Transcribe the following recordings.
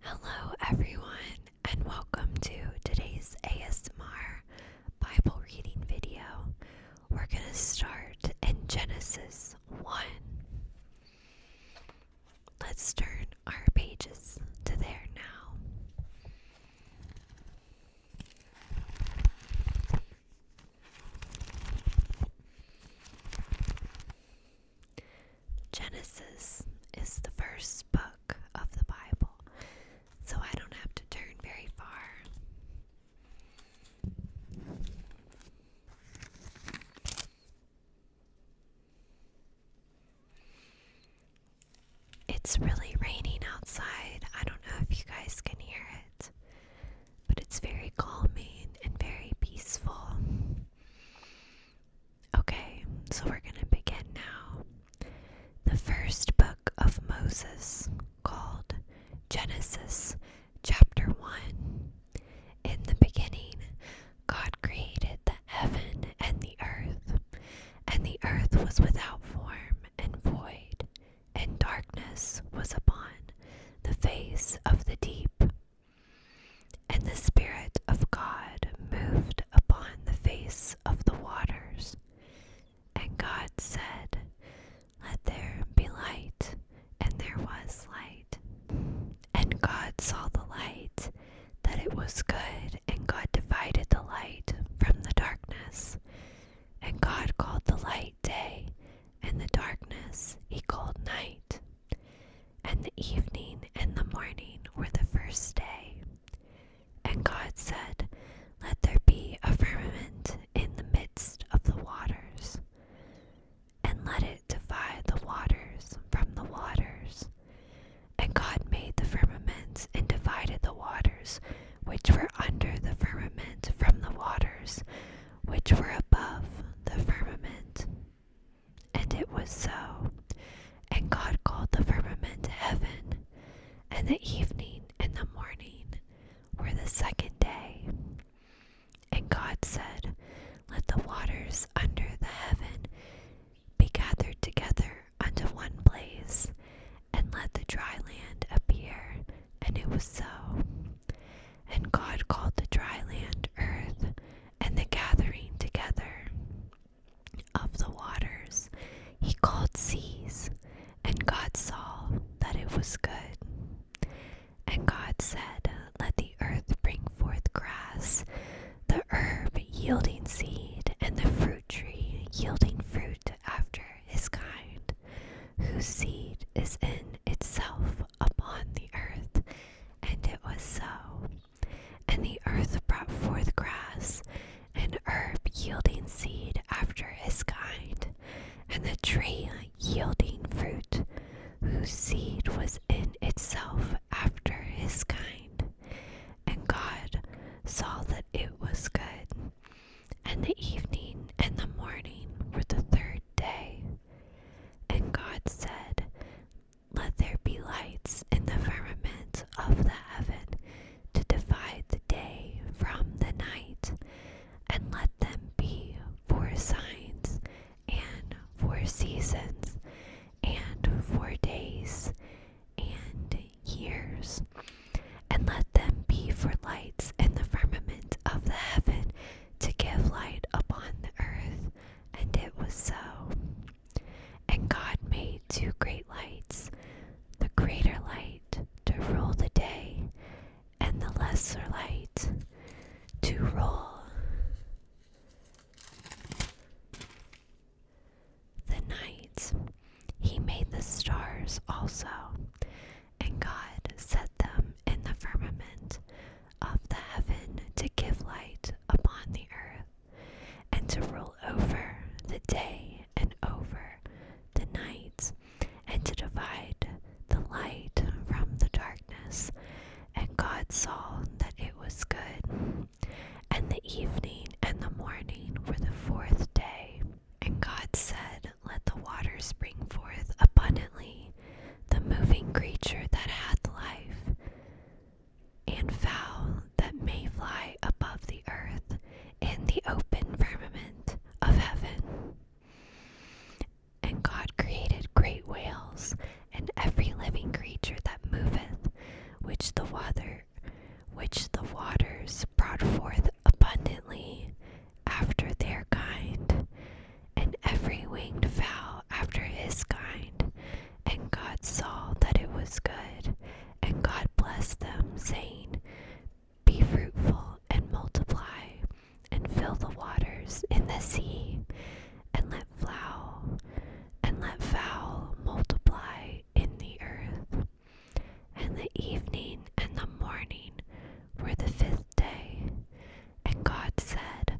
Hello, everyone, and welcome to today's ASMR Bible reading video. We're going to start in Genesis 1. Let's turn our pages to there now. Genesis is the first book of the Bible, so I don't have to turn very far. It's really raining outside. I don't know if you guys can hear it, but it's very calming and very peaceful. Okay, so we're going to begin now. The first book of Moses, called Genesis chapter 1. In the beginning, God created the heaven and the earth, and the earth was without form and void, and darkness was upon the face of the deep, and the Spirit of God moved upon the face of the waters. And God said, Let there be light. And there was light. And God saw the light, that it was good. And God divided the light from the darkness. And God called the light day, and the darkness he called night. And the evening and the morning were the first day. And God said, Let there be a firmament in the midst of the waters, and let it divide the waters from the waters. And God made the firmament and divided the waters which were under the firmament from the waters which were above the firmament. And it was so. And God called the firmament heaven, and the evening and the morning were the second day. And God said, Let the waters under the heaven be gathered together unto one place, and let the dry land appear. And it was so. And God called the dry land earth, and the gathering together of the waters he called seas, and God saw that it was good. And God said, Let the earth bring forth grass, the herb yielding seed, and the fruit tree yielding fruit after his kind, whose seed is in itself upon the earth. And it was so. And the earth brought forth grass, and herb yielding seed after his kind, and the tree yielding fruit, whose seed was in itself after his kind. And God saw that it was good. And the evening and the morning were the third day. And God said, let there be lights in the firmament of the heaven to divide the day from the night, and let them be for signs and for seasons and for days and years, and let them be for lights in the firmament of the heaven to give light upon the earth and it was so. And God made two great lights, the greater light to rule the day, and the lesser light to rule the night. He made the stars also, and God set them in the firmament of the heaven to give light upon the earth, and to rule over the day and over the night, and to divide the light from the darkness. And God saw that it was good. And the evening and the morning were the fourth day. And God said, Let the waters spring forth abundantly the moving creature that hath life, and fowl that may fly above the earth in the open firmament of heaven. And God created great whales and every living creature that moveth, which the water which the waters brought forth abundantly after their kind, and every winged fowl after his kind. And God saw that it was good, and God blessed them, saying, Be fruitful and multiply, and fill the waters in the sea, and let fowl and let fowl multiply in the earth. And the evening and the morning were the fifth day. And God said,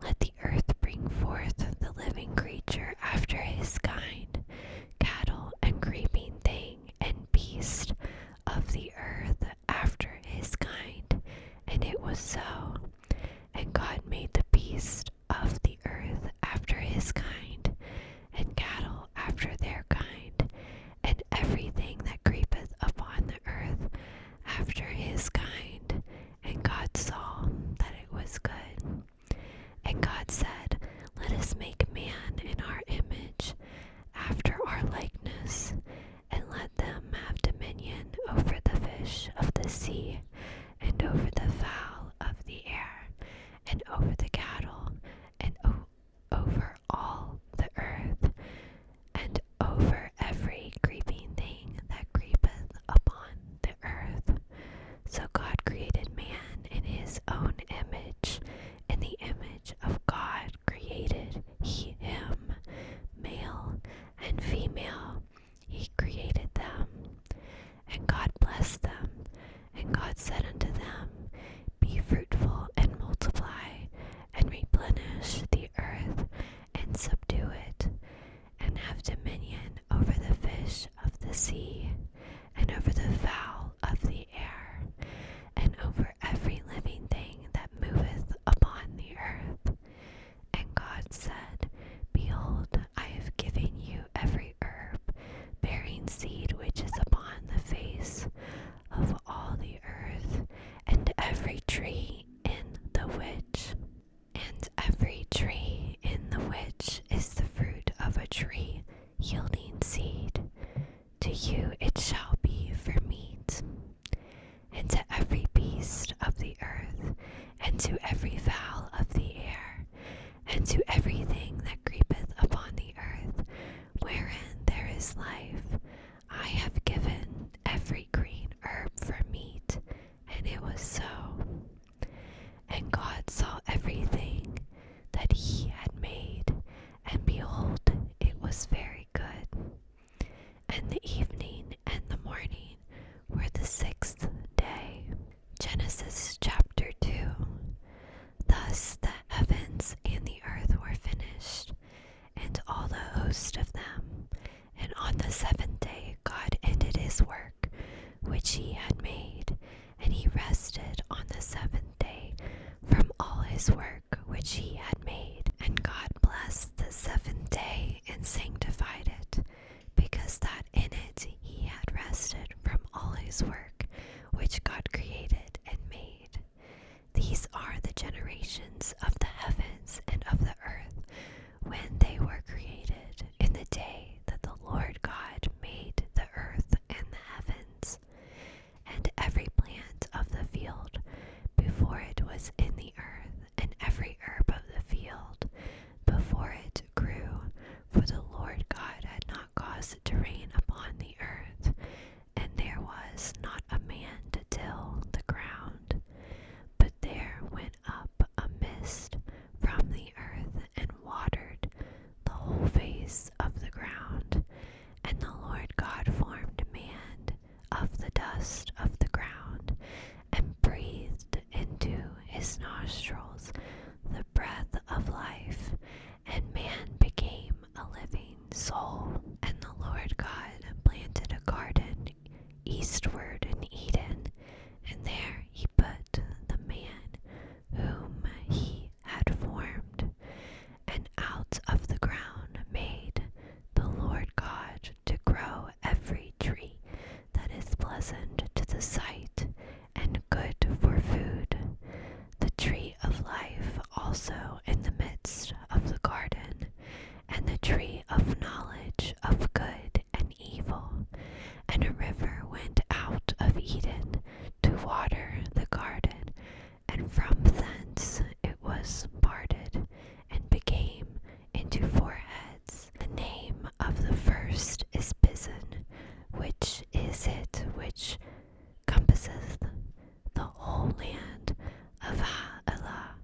Let the earth bring forth the living creature after his kind, cattle and creeping thing and beast of the earth after his kind. And it was so. And God made the beast of the earth after his kind, and cattle after their kind, and everything that creepeth upon the earth after his kind. And God saw that it was good. And God said, Let us make man in our image, after our likeness, and let them have dominion over the fish of the sea, and over the fowl of the air, and over the cattle, and over all the earth, and over every creeping thing that creepeth upon the earth. So God created man in his own image. In the image of God created he him, male and female. He created them. And God blessed them. And God said unto them, Be fruitful and multiply, and replenish the earth earth and subdue it, and have dominion over the fish of the sea, and over the fowl of the air, and over every living thing that moveth upon the earth. And God said, Behold, I have given you every herb bearing seed which is upon the face of all the earth, and every tree in the which, and every tree in the which is the fruit of a tree yielding seed, to you it shall be for meat, and to every beast of the earth, and to every fowl of the air, and to everything that creepeth upon the earth, wherein there is life, I have given every green herb for meat, and it was so. And God saw everything that he had made, and behold, it was very good. And the evening and the morning were the sixth day. Genesis chapter 2. Thus the heavens and the earth were finished, and all the host of them. And on the seventh day God ended his work which he had made, and he rested on the seventh day from all his work which he had made. And God blessed the seventh day and sanctified it, because that in it he had rested from all his work which God created and made. These are the generations of the heavens and of the earth when they were created, in the day that the Lord God made the earth and the heavens, and every plant of the field before it was in the earth, and every herb of the field before it grew. For the Lord God had not caused it to rain upon the earth, and there was not a man to till the ground. But there went up a mist from the earth and watered the whole face of the ground. And the Lord God formed man of the dust of the ground, and breathed into his nostrils the breath of life, and man became a living soul. And the Lord God planted a garden eastward in Eden, and there he put the man whom he had formed. And out of the ground made the Lord God to grow every tree that is pleasant to the sight and good for food, the tree of life also in the midst of the garden, and the tree of knowledge of good and evil, and a river went out of Eden to water the garden, and from thence it was parted and became into four heads. The name of the first is Pison, which is it which compasseth the whole land of Allah,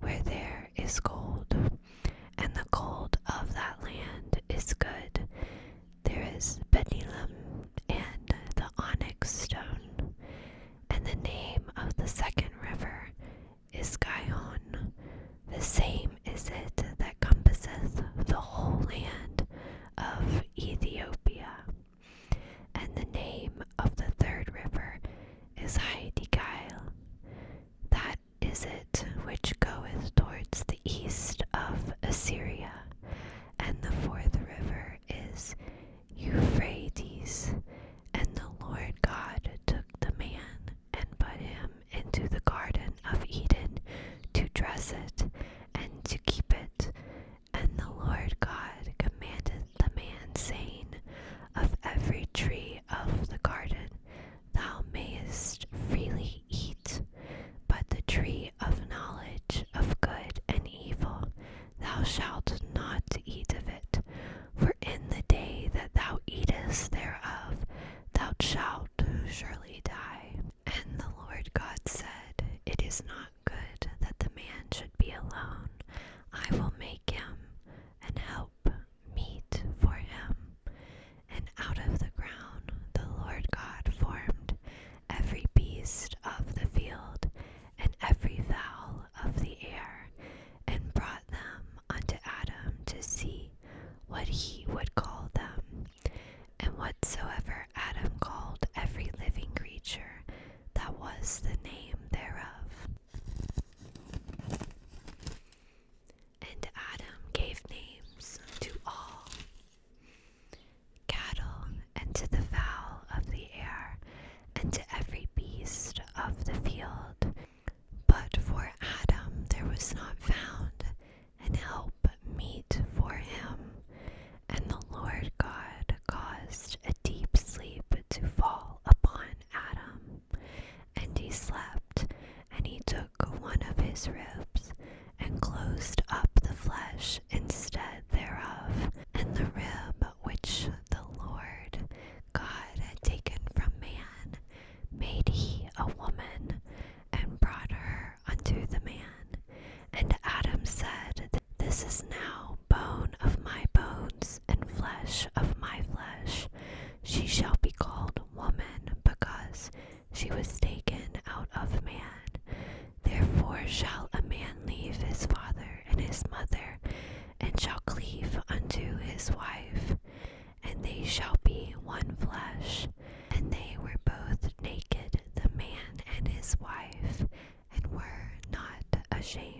where there is gold, and the gold of that land is good. There is Benilam and the onyx stone, and the name of the second river is Gihon. The same is it that compasseth the whole land of Ethiopia and the name of the third river is Heidigail. That is it which goeth towards the east of Assyria, and the fourth river is Euphrates. And the Lord God took the man and put him into the garden of Eden to dress it and to keep it. And the Lord God commanded the man, saying, Of every tree of the garden thou mayest freely eat, but the tree of knowledge of good and evil thou shalt not eat of it, for in the day that thou eatest thereof thou shalt surely die. And the Lord God said, It is not good that the man should be alone. I will make him an help meet for him. And out of the ground the Lord God formed every beast of the field and every fowl of the air, and brought them unto Adam to see what he would call them. And whatsoever Adam called every living creature, that was the name thereof. And Adam gave names to all cattle, and to the fowl of the air, and to every beast of the field. But for Adam there was not found an help meet for him. And the Lord God caused a deep sleep to fall upon Adam, and he slept, and he took one of his ribs, and closed up the flesh instead thereof, and the rib which the Lord God had taken from man made he a woman, and brought her unto the man. And Adam said, This is now bone of my bones and flesh of my flesh. She shall be called woman because she was taken out of man. Therefore shall a man leave his father and his mother, and shall cleave unto his wife, and they shall be one flesh. And they were both naked, the man and his wife, and were not ashamed.